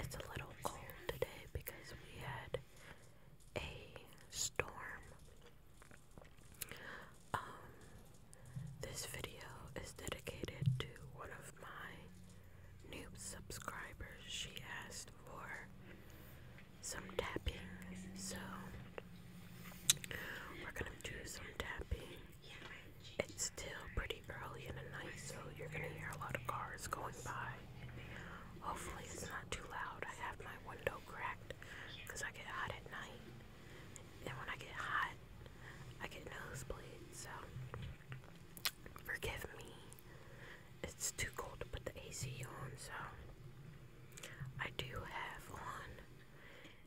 It's a little cold today because we had a storm. Um, this video is dedicated to one of my new subscribers. She asked for some tapping, so we're gonna do some tapping it's still pretty early in the night, so you're gonna hear a lot of cars going by. Hopefully, it's not too loud. I have my window cracked because I get hot at night, and when I get hot, I get nosebleeds. So, forgive me. It's too cold to put the AC on, so I do have on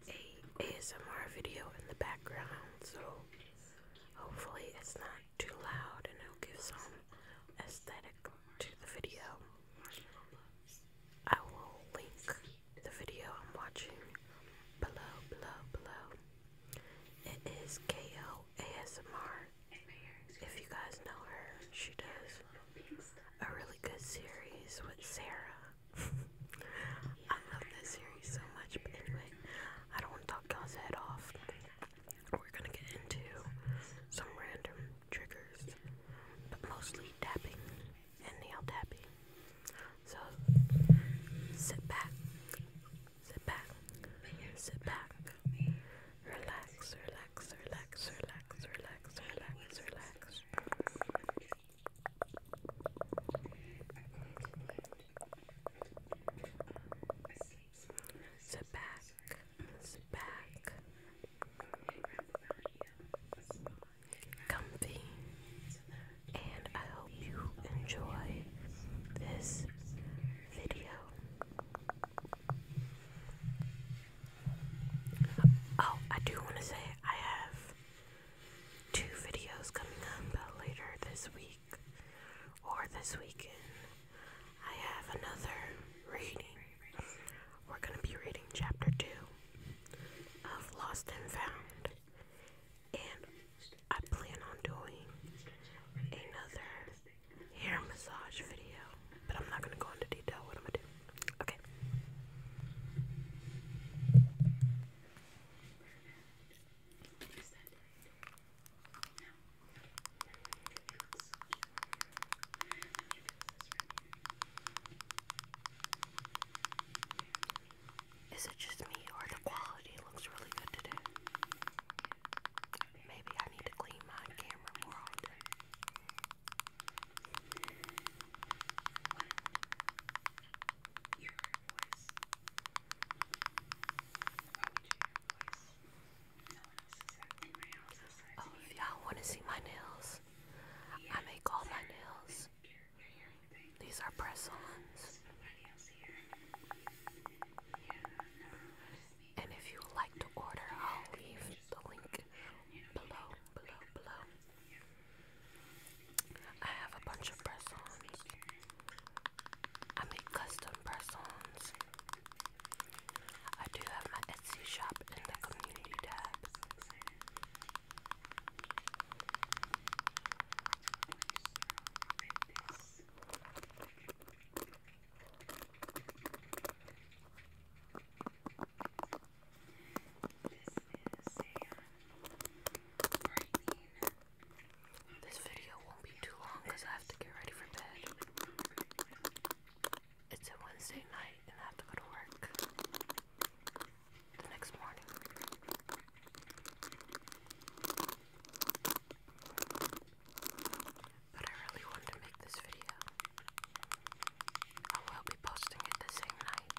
a ASMR video in the background. So Hopefully it's not too loud and it'll give some aesthetic to the video. I will link the video I'm watching below, below, below. It is KO ASMR. If you guys know her, she does a really good series with Sarah. I love that series so much, but anyway, I don't want to talk you head off. We're gonna get into some random triggers, but mostly tapping and nail tapping. So sit back, sit back, sit back, relax, relax, relax, relax, relax, relax, relax. Sit back, sit back. Comfy, and I hope you enjoy this video. Oh, I do want to say I have two videos coming up later this week or this weekend, I have another reading. We're going to be reading chapter 2 of Lost and Found, and I plan on doing another hair massage video, but I'm not going to go into detail what I'm going to do. Okay. Is it just me or the quality looks really good today? Maybe I need to clean my camera more often. Oh, if y'all want to see my nails, I make all my nails. These are press ons. And if you would like to order, I'll leave the link below, below, below. I have a bunch of press ons. I make custom press-ons. I do have my Etsy shop in the community tab. This is a uh, this video won't be too long because I have to get ready for bed. It's a Wednesday night and I have to go to work the next morning. But I really wanted to make this video. I will be posting it the same night.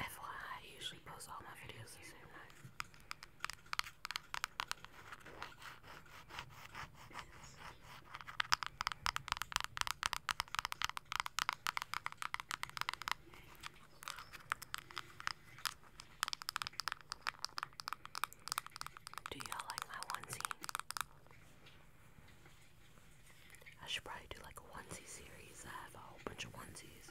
FYI, I usually post all my videos the same night. Do y'all like my onesie? I should probably do like a onesie series. I have a whole bunch of onesies.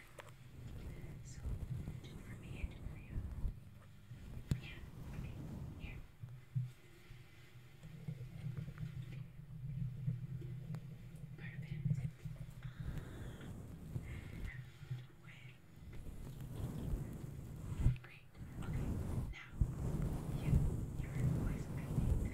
So, just for me and for you. Yeah, okay, here. Perfect. Wait. Great. Okay, now you, your voice, I think,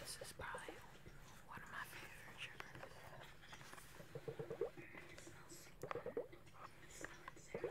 This is probably one of my favorite sugars. It smells good. It smells good.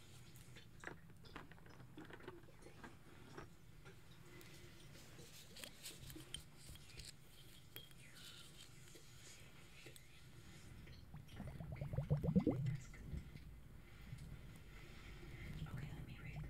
Okay, let me read the directions. The directions say, or they read,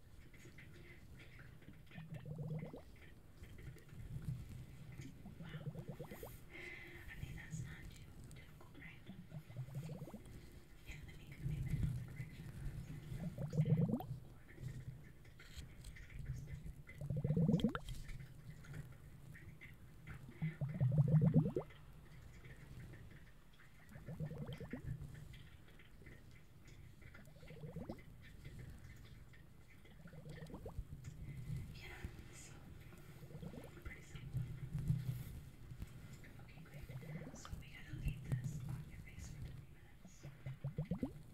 I mean, that's not too difficult, right? Yeah, let me go maybe another direction. Or... Yeah, so pretty simple. Okay, great. So we gotta leave this on your face for 20 minutes. So in the meantime,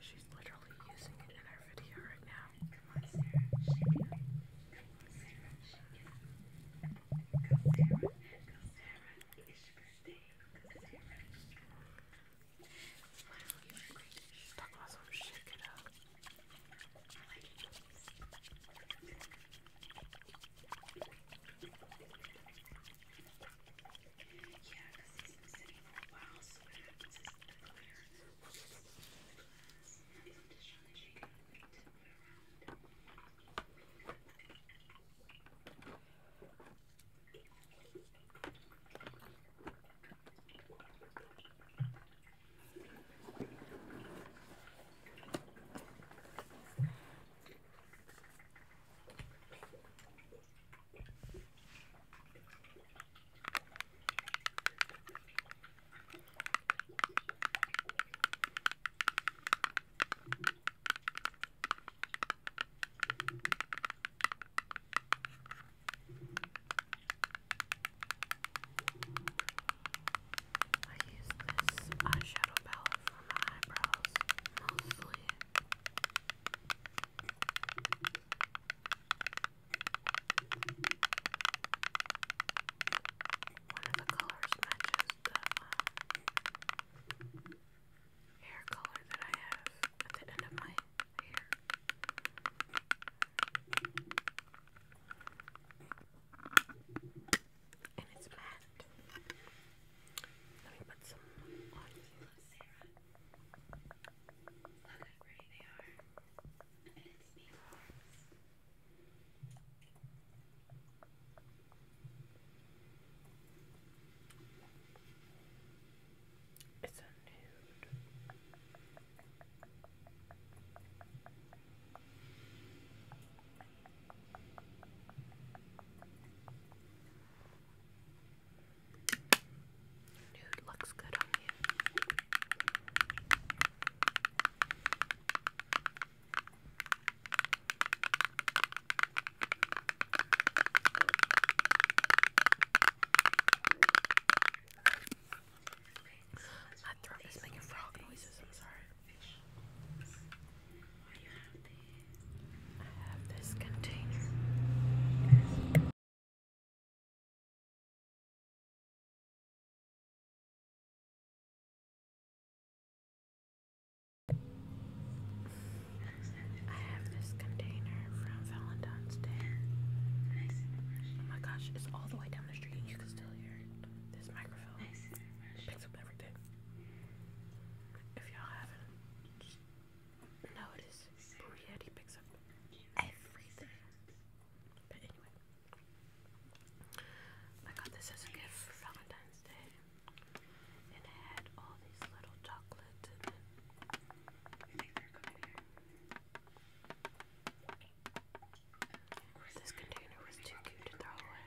She's literally using it in her video right now. Come on, Sarah, shake it up. Come on, Sarah, shake it up. Go, Sarah. Go, Sarah. It's your birthday. Go, Sarah. Wow, you're great. She's talking about some shake it up. I like it. Yeah, because he's been sitting for a while, so what happens is the glitter will just the glass. I'm just trying to shake it and tip it around. Okay, I use this eyeshadow palette for my eyebrows mostly blue. One of the colors matches the uh, hair color that I have at the end of my hair and it's matte. Let me put some on you. Look how pretty they are. And it's these It's a nude. Nude looks good on you. My throat is making frog noises, I'm sorry. I have this container. I have this container from Valentine's Oh my gosh, it's all the way down the street. and You can still hear This microphone picks up everything. If y'all haven't notice Burietti picks up everything. But anyway, I got this as a gift for Valentine's Day, and it had all these little chocolates in it. This container was too cute to throw away.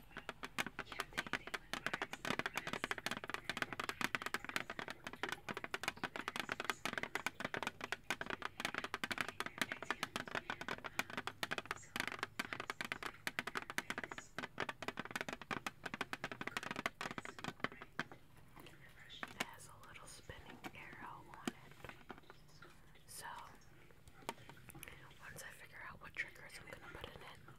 Yeah, they, It has a little spinning arrow on it. So once I figure out what triggers I'm gonna put in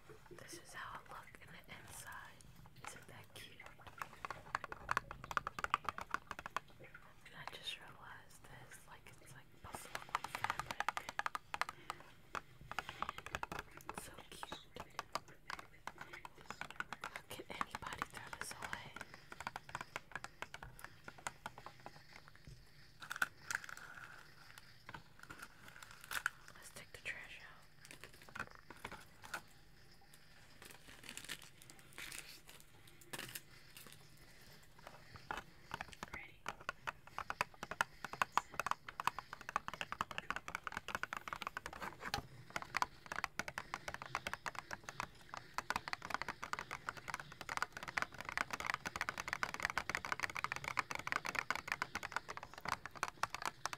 This is how it looks on the inside. Isn't that cute? I just realized this, like it's like buffalo so cute. How can anybody throw this away? Let's take the trash out. Ready? All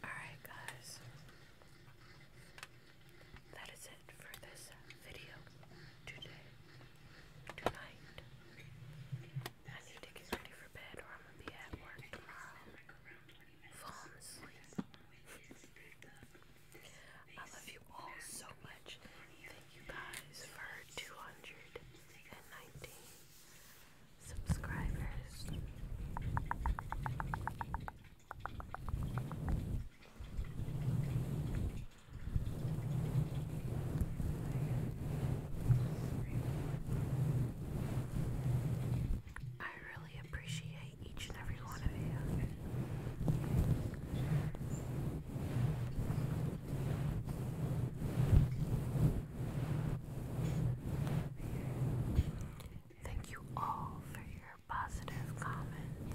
Alright, guys, that is it for this video today, tonight. I need to get ready for bed, or I'm gonna be at work tomorrow. Fall asleep. I love you all so much. Thank you guys for 219 subscribers. I really appreciate each and every one of you. Thank you all for your positive comments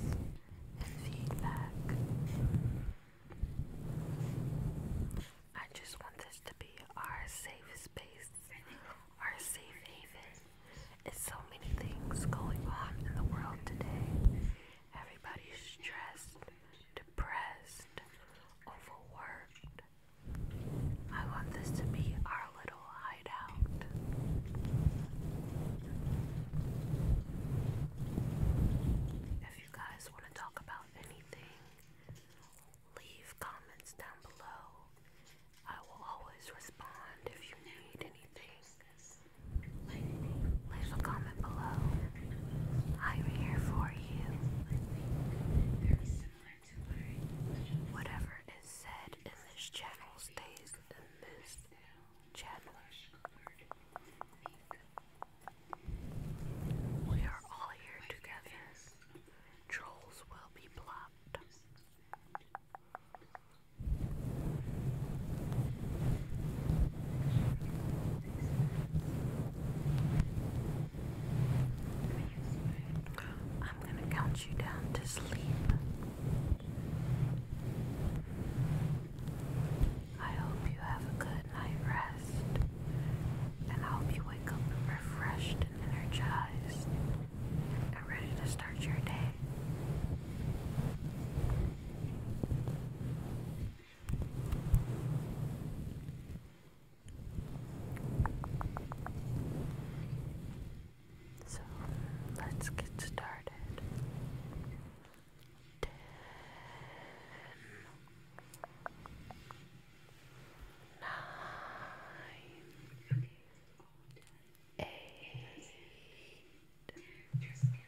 and feedback. I just want this to be our safe space, our safe haven. It's so many things going on in the world today. Everybody's stressed, depressed, overworked, I want this to be our little hideout. If you guys want to talk about anything, leave comments down below. I will always respond if you need anything. Leave a comment below. I'm here for you. Whatever is said in this channel stays in this channel. We are all here together. Trolls will be blocked. I'm going to count you down to sleep. I hope you have a good night rest, and I hope you wake up refreshed and energized and ready to start your day. So let's get started. Ten, nine, eight, seven,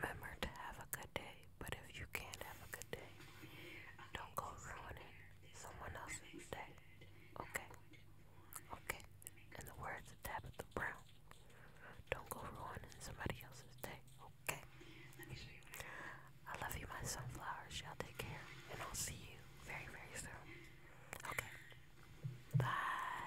Remember to have a good day, but if you can't have a good day, don't go ruining someone else's day. Okay? Okay. In the words of Tabitha Brown, don't go ruining somebody else's day. Okay? I love you, my sunflowers. Y'all take care, and I'll see you very, very soon. Okay. Bye.